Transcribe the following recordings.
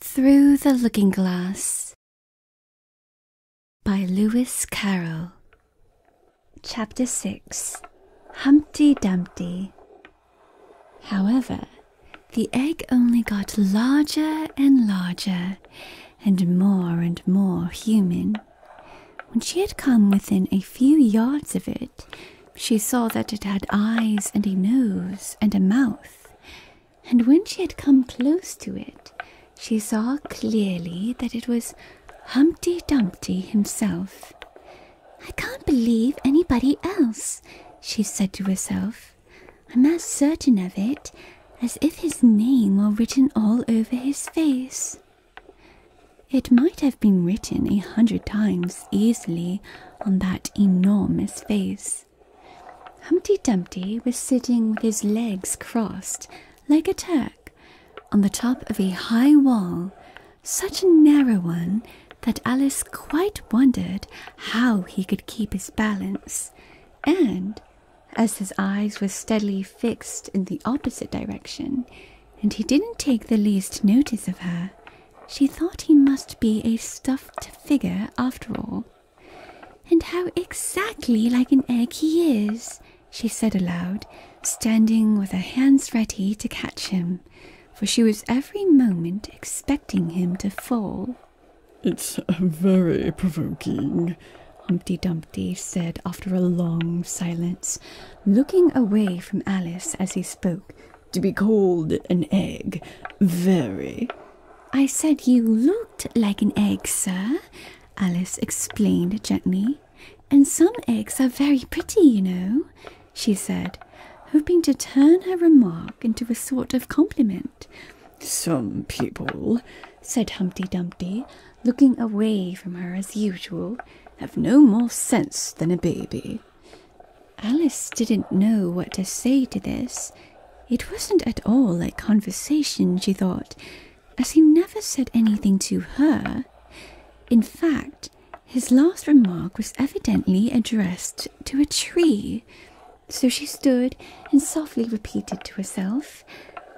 Through the Looking Glass by Lewis Carroll. Chapter 6 Humpty Dumpty However, the egg only got larger and larger and more and more human. When she had come within a few yards of it, she saw that it had eyes and a nose and a mouth. And when she had come close to it, she saw clearly that it was Humpty Dumpty himself. I can't believe anybody else, she said to herself. I'm as certain of it as if his name were written all over his face. It might have been written a hundred times easily on that enormous face. Humpty Dumpty was sitting with his legs crossed like a Turk on the top of a high wall such a narrow one that Alice quite wondered how he could keep his balance, and as his eyes were steadily fixed in the opposite direction, and he didn't take the least notice of her, she thought he must be a stuffed figure after all. And how exactly like an egg he is, she said aloud, standing with her hands ready to catch him for she was every moment expecting him to fall. It's very provoking, Humpty Dumpty said after a long silence, looking away from Alice as he spoke. To be called an egg, very. I said you looked like an egg, sir, Alice explained gently. And some eggs are very pretty, you know she said, hoping to turn her remark into a sort of compliment. Some people, said Humpty Dumpty, looking away from her as usual, have no more sense than a baby. Alice didn't know what to say to this. It wasn't at all like conversation, she thought, as he never said anything to her. In fact, his last remark was evidently addressed to a tree, so she stood and softly repeated to herself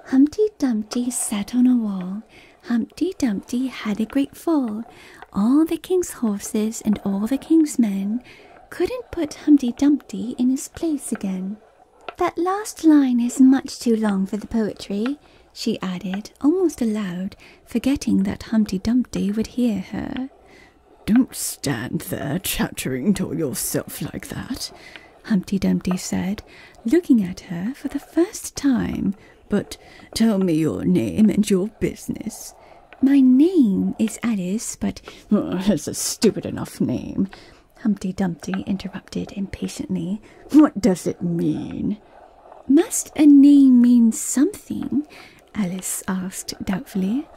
Humpty Dumpty sat on a wall. Humpty Dumpty had a great fall. All the king's horses and all the king's men couldn't put Humpty Dumpty in his place again. That last line is much too long for the poetry, she added, almost aloud, forgetting that Humpty Dumpty would hear her. Don't stand there chattering to yourself like that, Humpty Dumpty said, looking at her for the first time. But tell me your name and your business. My name is Alice, but oh, a stupid enough name. Humpty Dumpty interrupted impatiently. What does it mean? Must a name mean something? Alice asked doubtfully.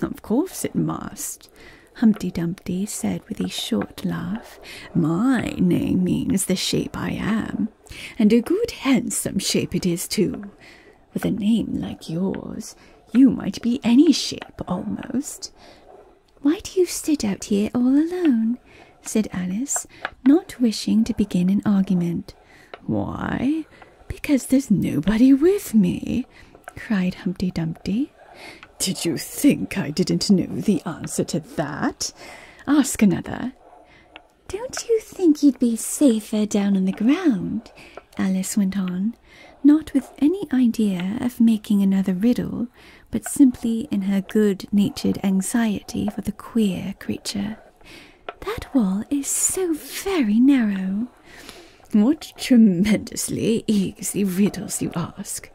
Of course it must. Humpty Dumpty said with a short laugh, My name means the shape I am, and a good handsome shape it is too. With a name like yours, you might be any shape almost. Why do you sit out here all alone? said Alice, not wishing to begin an argument. Why? Because there's nobody with me, cried Humpty Dumpty. Did you think I didn't know the answer to that? Ask another. Don't you think you'd be safer down on the ground? Alice went on, not with any idea of making another riddle, but simply in her good natured anxiety for the queer creature. That wall is so very narrow. What tremendously easy riddles you ask!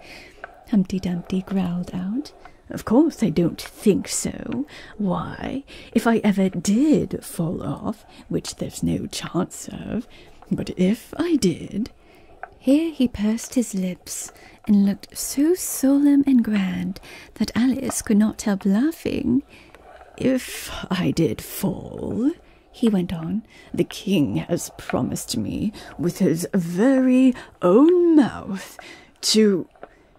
Humpty Dumpty growled out. Of course, I don't think so. Why, if I ever did fall off, which there's no chance of, but if I did. Here he pursed his lips and looked so solemn and grand that Alice could not help laughing. If I did fall, he went on, the king has promised me with his very own mouth to.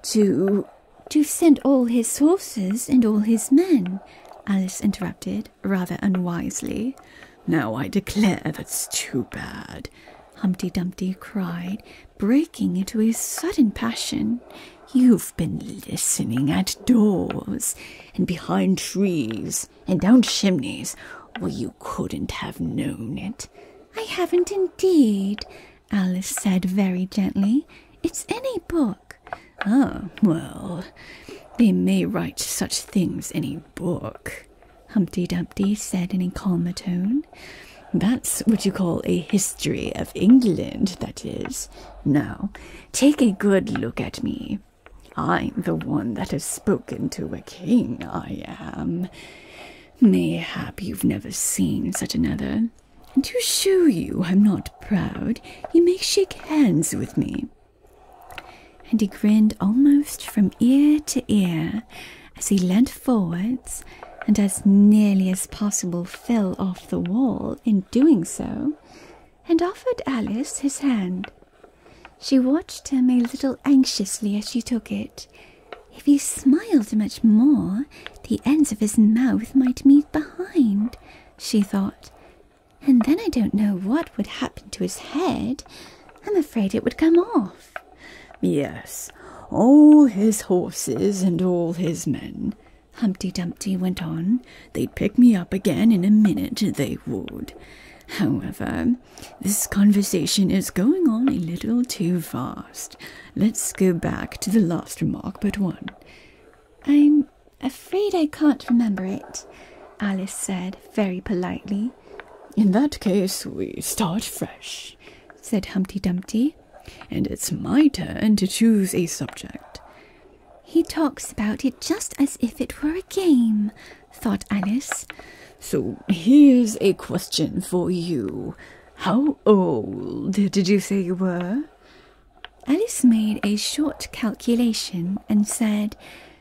to. to send all his horses and all his men, Alice interrupted, rather unwisely. Now I declare that's too bad. Humpty Dumpty cried, breaking into a sudden passion. You've been listening at doors and behind trees and down chimneys, or you couldn't have known it. I haven't indeed, Alice said very gently. It's any book. Oh, well, they may write such things in a book, Humpty Dumpty said in a calmer tone. That's what you call a history of England, that is. Now, take a good look at me. I'm the one that has spoken to a king, I am. Mayhap you've never seen such another. And to show you I'm not proud, you may shake hands with me. And he grinned almost from ear to ear as he leant forwards and as nearly as possible fell off the wall in doing so, and offered Alice his hand. She watched him a little anxiously as she took it. If he smiled much more, the ends of his mouth might meet behind, she thought. And then I don't know what would happen to his head. I'm afraid it would come off. Yes, all his horses and all his men, Humpty Dumpty went on. They'd pick me up again in a minute, they would. However, this conversation is going on a little too fast. Let's go back to the last remark but one. I'm afraid I can't remember it, Alice said very politely. In that case, we start fresh, said Humpty Dumpty and it's my turn to choose a subject. He talks about it just as if it were a game, thought Alice. So here's a question for you. How old did you say you were? Alice made a short calculation and said,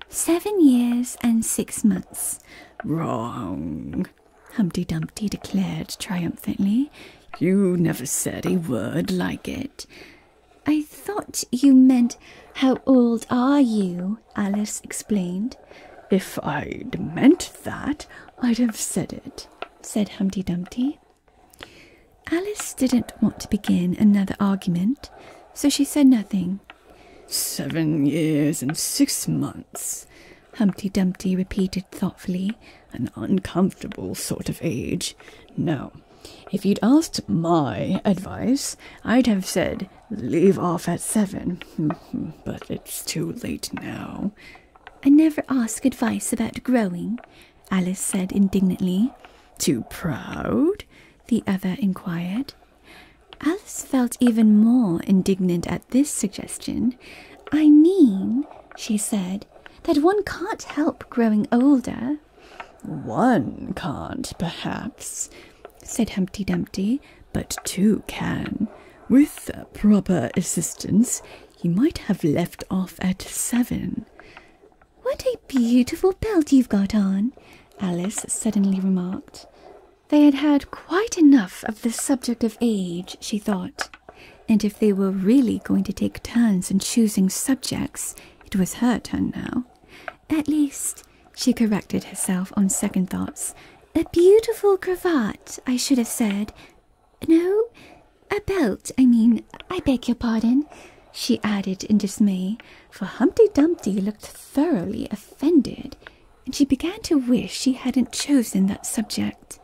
Seven years and six months. Wrong, Humpty Dumpty declared triumphantly. You never said a word like it. I thought you meant, How old are you? Alice explained. If I'd meant that, I'd have said it, said Humpty Dumpty. Alice didn't want to begin another argument, so she said nothing. Seven years and six months, Humpty Dumpty repeated thoughtfully, an uncomfortable sort of age. No. If you'd asked my advice, I'd have said leave off at seven, mm-hmm. but it's too late now. I never ask advice about growing, Alice said indignantly. Too proud? the other inquired. Alice felt even more indignant at this suggestion. I mean, she said, that one can't help growing older. One can't, perhaps, said Humpty Dumpty, but two can. With proper assistance, he might have left off at seven. What a beautiful belt you've got on, Alice suddenly remarked. They had had quite enough of the subject of age, she thought and if they were really going to take turns in choosing subjects, it was her turn now. At least, she corrected herself on second thoughts, a beautiful cravat, I should have said. No, a belt, I mean, I beg your pardon, she added in dismay, for Humpty Dumpty looked thoroughly offended, and she began to wish she hadn't chosen that subject.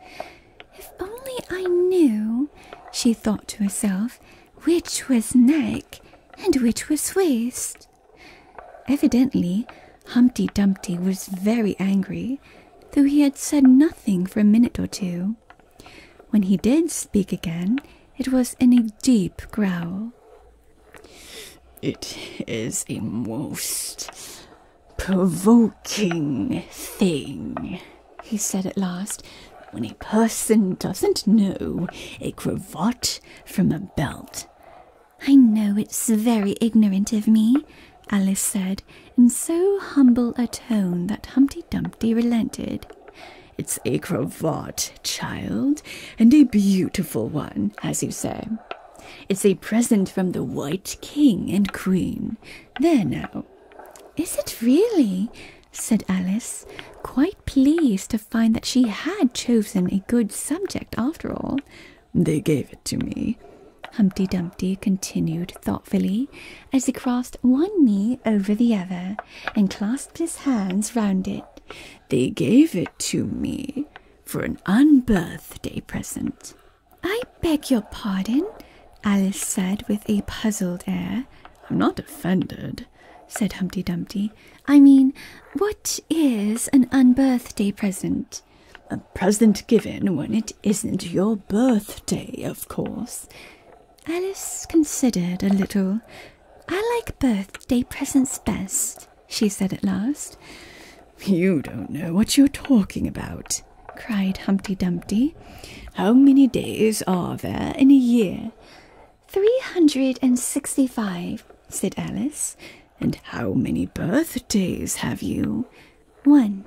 If only I knew, she thought to herself, which was neck and which was waist. Evidently, Humpty Dumpty was very angry, though he had said nothing for a minute or two. When he did speak again, it was in a deep growl. It is a most provoking thing, he said at last, when a person doesn't know a cravat from a belt. I know it's very ignorant of me, Alice said, in so humble a tone that Humpty Dumpty relented. It's a cravat, child, and a beautiful one, as you say. It's a present from the White King and Queen. There now, is it really? said Alice, quite pleased to find that she had chosen a good subject after all. They gave it to me, Humpty Dumpty continued thoughtfully as he crossed one knee over the other and clasped his hands round it. They gave it to me for an unbirthday present. I beg your pardon, Alice said with a puzzled air. I'm not offended, said Humpty Dumpty. I mean, what is an unbirthday present? A present given when it isn't your birthday, of course. Alice considered a little. I like birthday presents best, she said at last. You don't know what you're talking about, cried Humpty Dumpty. How many days are there in a year? Three hundred and sixty five, said Alice. And how many birthdays have you? One.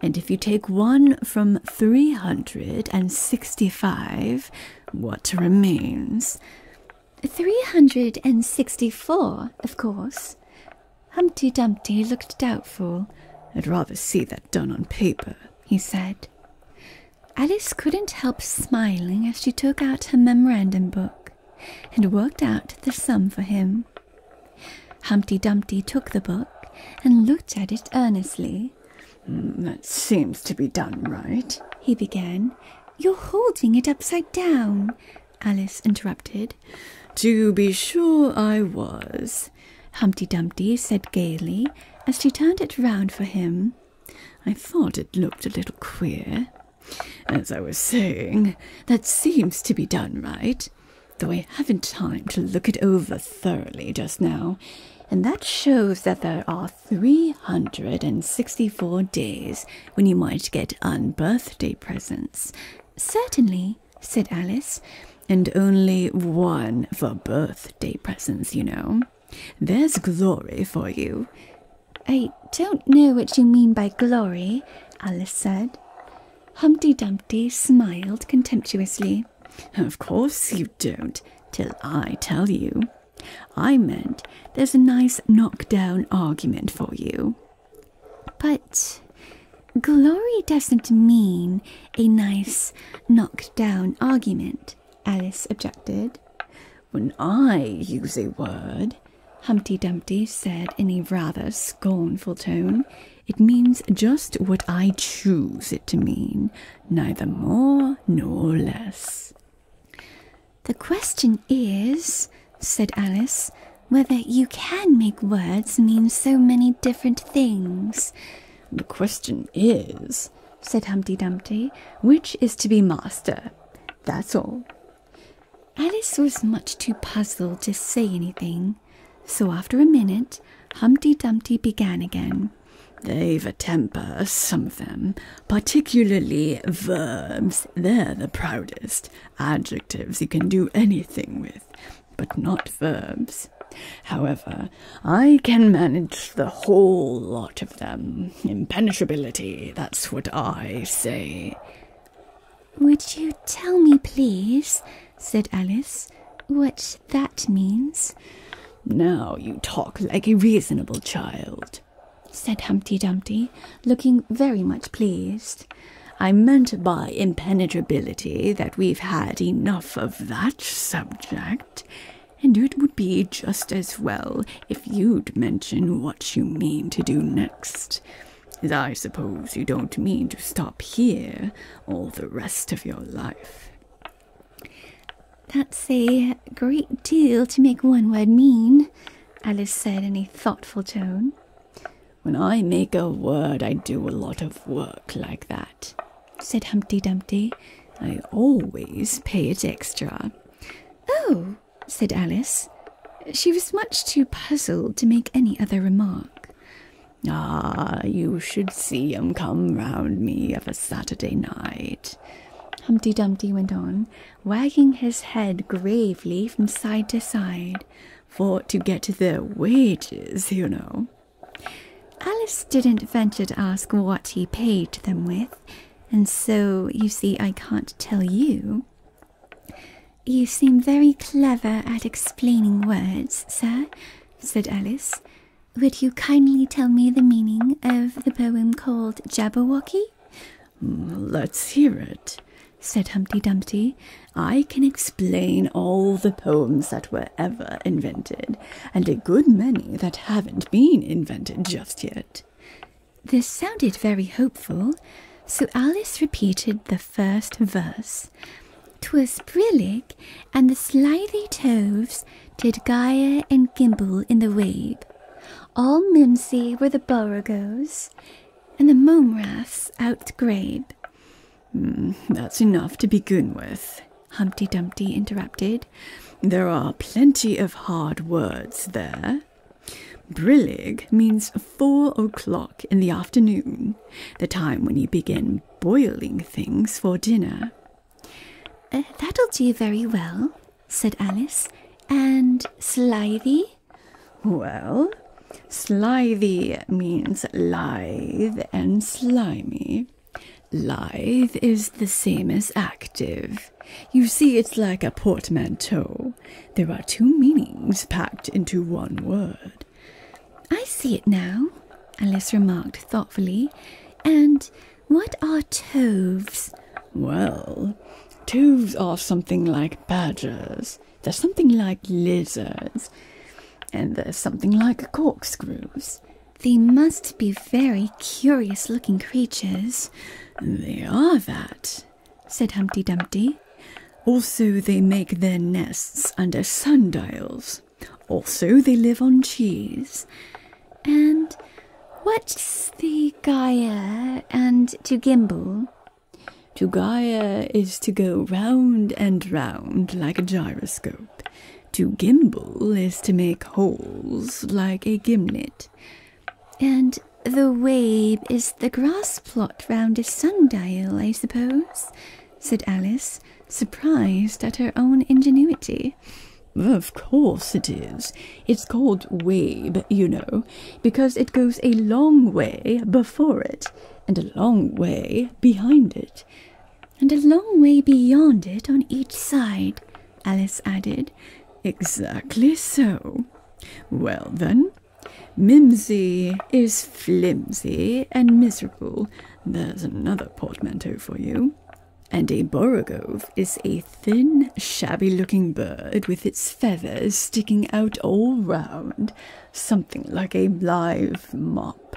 And if you take one from three hundred and sixty five, what remains? Three hundred and sixty four, of course. Humpty Dumpty looked doubtful. I'd rather see that done on paper, he said. Alice couldn't help smiling as she took out her memorandum book and worked out the sum for him. Humpty Dumpty took the book and looked at it earnestly. Mm, that seems to be done right, he began. You're holding it upside down, Alice interrupted. To be sure I was, Humpty Dumpty said gaily as she turned it round for him. I thought it looked a little queer. As I was saying, that seems to be done right, though I haven't time to look it over thoroughly just now, and that shows that there are 364 days when you might get unbirthday presents. Certainly, said Alice, and only one for birthday presents, you know. There's glory for you. I don't know what you mean by glory, Alice said. Humpty Dumpty smiled contemptuously. Of course you don't, till I tell you. I meant there's a nice knock-down argument for you. But glory doesn't mean a nice knock down argument, Alice objected. When I use a word, Humpty Dumpty said in a rather scornful tone, it means just what I choose it to mean, neither more nor less. The question is, said Alice, whether you can make words mean so many different things. The question is, said Humpty Dumpty, which is to be master? That's all. Alice was much too puzzled to say anything, so after a minute Humpty Dumpty began again. They've a temper, some of them, particularly verbs. They're the proudest. Adjectives you can do anything with but not verbs. However, I can manage the whole lot of them. Impenetrability, that's what I say. Would you tell me, please, said Alice, what that means? Now you talk like a reasonable child, said Humpty Dumpty, looking very much pleased. I meant by impenetrability that we've had enough of that subject, and it would be just as well if you'd mention what you mean to do next. As I suppose you don't mean to stop here all the rest of your life. That's a great deal to make one word mean, Alice said in a thoughtful tone. When I make a word, I do a lot of work like that, said Humpty Dumpty. I always pay it extra. Oh, said Alice. She was much too puzzled to make any other remark. Ah, you should see 'em come round me of a Saturday night, Humpty Dumpty went on, wagging his head gravely from side to side for to get their wages, you know. Alice didn't venture to ask what he paid them with, and so you see, I can't tell you. You seem very clever at explaining words, sir, said Alice. Would you kindly tell me the meaning of the poem called Jabberwocky? Mm, let's hear it, said Humpty Dumpty. I can explain all the poems that were ever invented, and a good many that haven't been invented just yet. This sounded very hopeful, so Alice repeated the first verse. Twas brillig, and the slithy toves did gyre and gimble in the wabe. All mimsy were the borogoves, and the mome raths outgrabe. Mm, that's enough to begin with, Humpty Dumpty interrupted. There are plenty of hard words there. Brillig means four o'clock in the afternoon, the time when you begin boiling things for dinner. Uh, that'll do very well, said Alice. And slithy? Well, slithy means lithe and slimy. Lithe is the same as active. You see, it's like a portmanteau. There are two meanings packed into one word. I see it now, Alice remarked thoughtfully. And what are toves? Well, toves are something like badgers. They're something like lizards, and they're something like corkscrews. They must be very curious looking creatures. They are that, said Humpty Dumpty. Also, they make their nests under sundials. Also, they live on cheese. And what's the Gaia and to Gimble? To Gaia is to go round and round like a gyroscope. To gimble is to make holes like a gimlet. And the wabe is the grass plot round a sundial, I suppose, said Alice, surprised at her own ingenuity. Of course it is. It's called wabe, you know, because it goes a long way before it and a long way behind it, and a long way beyond it on each side, Alice added. Exactly so. Well then, Mimsy is flimsy and miserable. There's another portmanteau for you. And a Borogove is a thin, shabby looking bird with its feathers sticking out all round something like a live mop.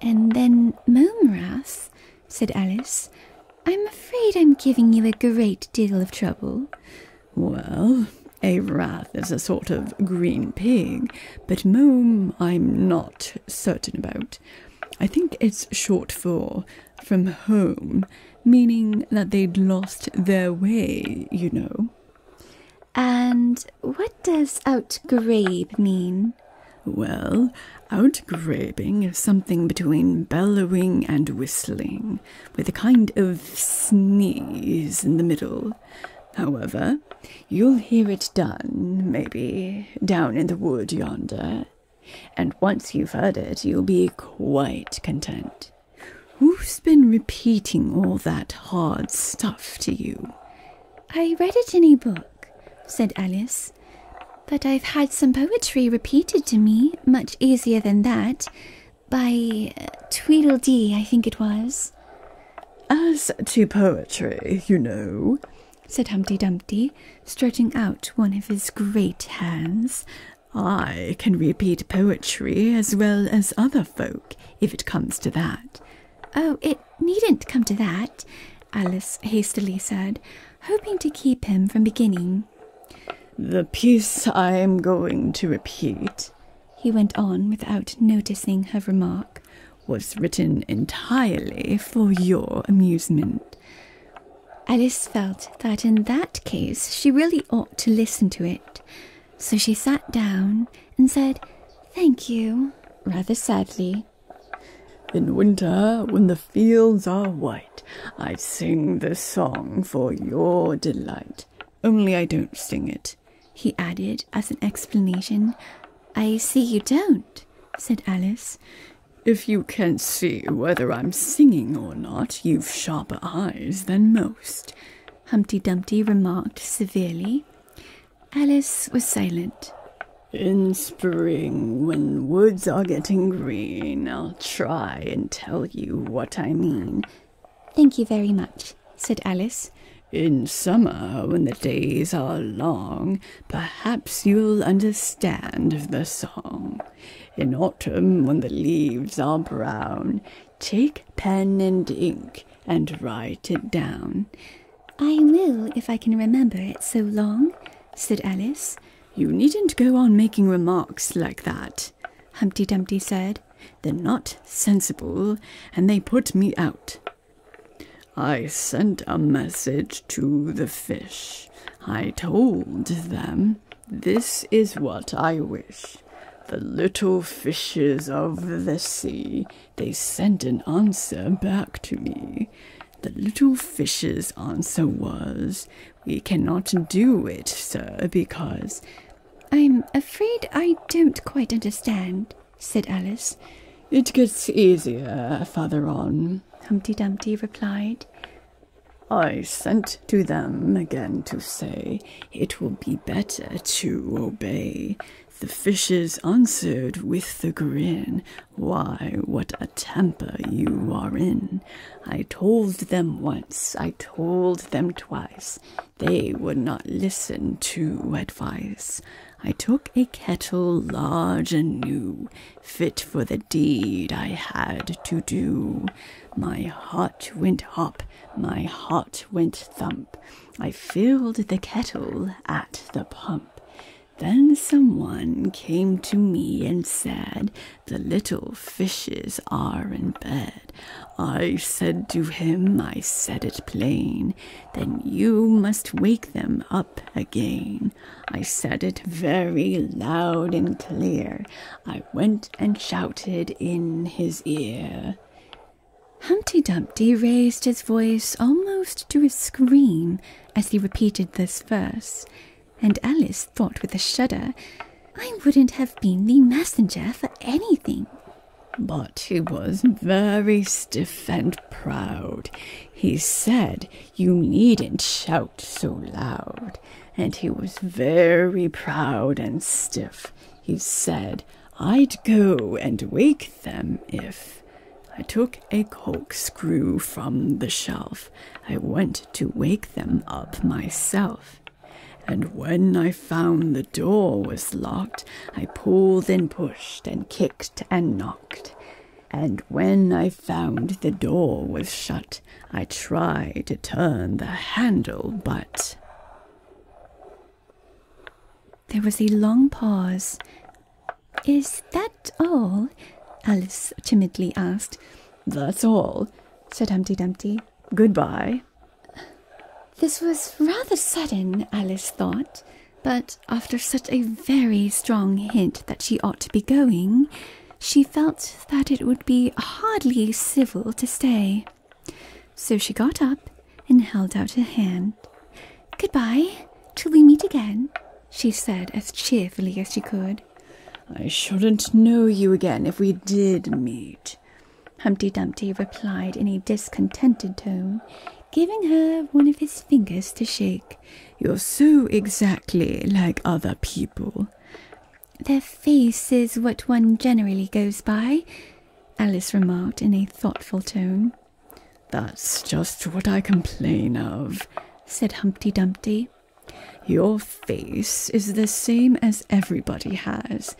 And then Momras, said Alice, I'm afraid I'm giving you a great deal of trouble. Well, a rat is a sort of green pig, but mome I'm not certain about. I think it's short for from home, meaning that they'd lost their way, you know. And what does outgrabe mean? Well, outgrabing is something between bellowing and whistling, with a kind of sneeze in the middle. However, you'll hear it done, maybe, down in the wood yonder, and once you've heard it, you'll be quite content. Who's been repeating all that hard stuff to you? I read it in a book, said Alice. But I've had some poetry repeated to me, much easier than that, by uh, Tweedledee, I think it was. As to poetry, you know, said Humpty Dumpty, stretching out one of his great hands, I can repeat poetry as well as other folk if it comes to that. Oh, it needn't come to that, Alice hastily said, hoping to keep him from beginning. The piece I am going to repeat, he went on without noticing her remark, was written entirely for your amusement. Alice felt that in that case she really ought to listen to it. So she sat down and said, Thank you, rather sadly. In winter, when the fields are white, I sing this song for your delight. Only I don't sing it, he added as an explanation. I see you don't, said Alice. If you can see whether I'm singing or not, you've sharper eyes than most. Humpty Dumpty remarked severely. Alice was silent. In spring, when woods are getting green, I'll try and tell you what I mean. Thank you very much, said Alice. In summer, when the days are long, perhaps you'll understand the song. In autumn, when the leaves are brown, Take pen and ink and write it down. I will, if I can remember it so long, said Alice. You needn't go on making remarks like that, Humpty Dumpty said. They're not sensible, and they put me out. I sent a message to the fish. I told them, This is what I wish the little fishes of the sea, they sent an answer back to me. The little fish's answer was, We cannot do it, sir, because. I'm afraid I don't quite understand, said Alice. It gets easier farther on, Humpty Dumpty replied. I sent to them again to say, it will be better to obey. The fishes answered with the grin, Why, what a temper you are in! I told them once, I told them twice, they would not listen to advice. I took a kettle large and new, fit for the deed I had to do. My heart went hop, my heart went thump. I filled the kettle at the pump. Then someone came to me and said, The little fishes are in bed. I said to him, I said it plain, Then you must wake them up again. I said it very loud and clear. I went and shouted in his ear. Humpty Dumpty raised his voice almost to a scream as he repeated this verse, and Alice thought with a shudder, I wouldn't have been the messenger for anything. But he was very stiff and proud. He said you needn't shout so loud, and he was very proud and stiff. He said, I'd go and wake them if I took a corkscrew from the shelf. I went to wake them up myself. And when I found the door was locked, I pulled and pushed and kicked and knocked. And when I found the door was shut, I tried to turn the handle, but there was a long pause. Is that all? Alice timidly asked. That's all, said Humpty Dumpty. Goodbye. This was rather sudden, Alice thought, but after such a very strong hint that she ought to be going, she felt that it would be hardly civil to stay. So she got up and held out her hand. Goodbye, till we meet again, she said as cheerfully as she could. I shouldn't know you again if we did meet, Humpty Dumpty replied in a discontented tone, giving her one of his fingers to shake. You're so exactly like other people. Their face is what one generally goes by, Alice remarked in a thoughtful tone. That's just what I complain of, said Humpty Dumpty. Your face is the same as everybody has.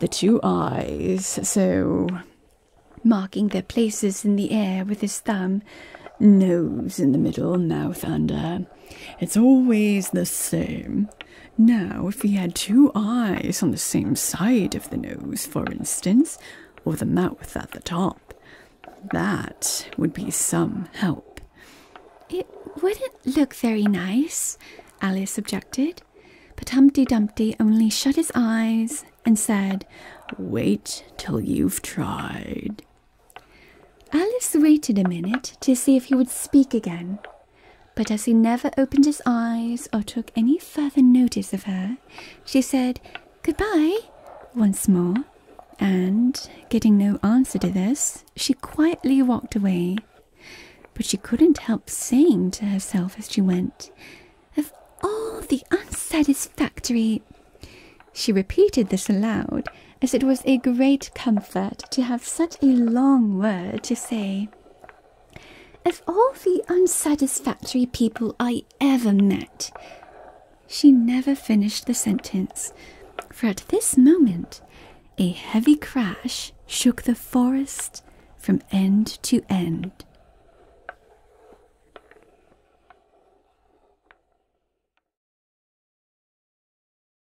The two eyes, so. Marking their places in the air with his thumb, nose in the middle, mouth under. It's always the same. Now, if he had two eyes on the same side of the nose, for instance, or the mouth at the top, that would be some help. It wouldn't look very nice, Alice objected, but Humpty Dumpty only shut his eyes and said, Wait till you've tried. Alice waited a minute to see if he would speak again. But as he never opened his eyes or took any further notice of her, she said good-bye once more, and getting no answer to this, she quietly walked away. But she couldn't help saying to herself as she went, Of all the unsatisfactory. She repeated this aloud, as it was a great comfort to have such a long word to say. Of all the unsatisfactory people I ever met, she never finished the sentence, for at this moment a heavy crash shook the forest from end to end.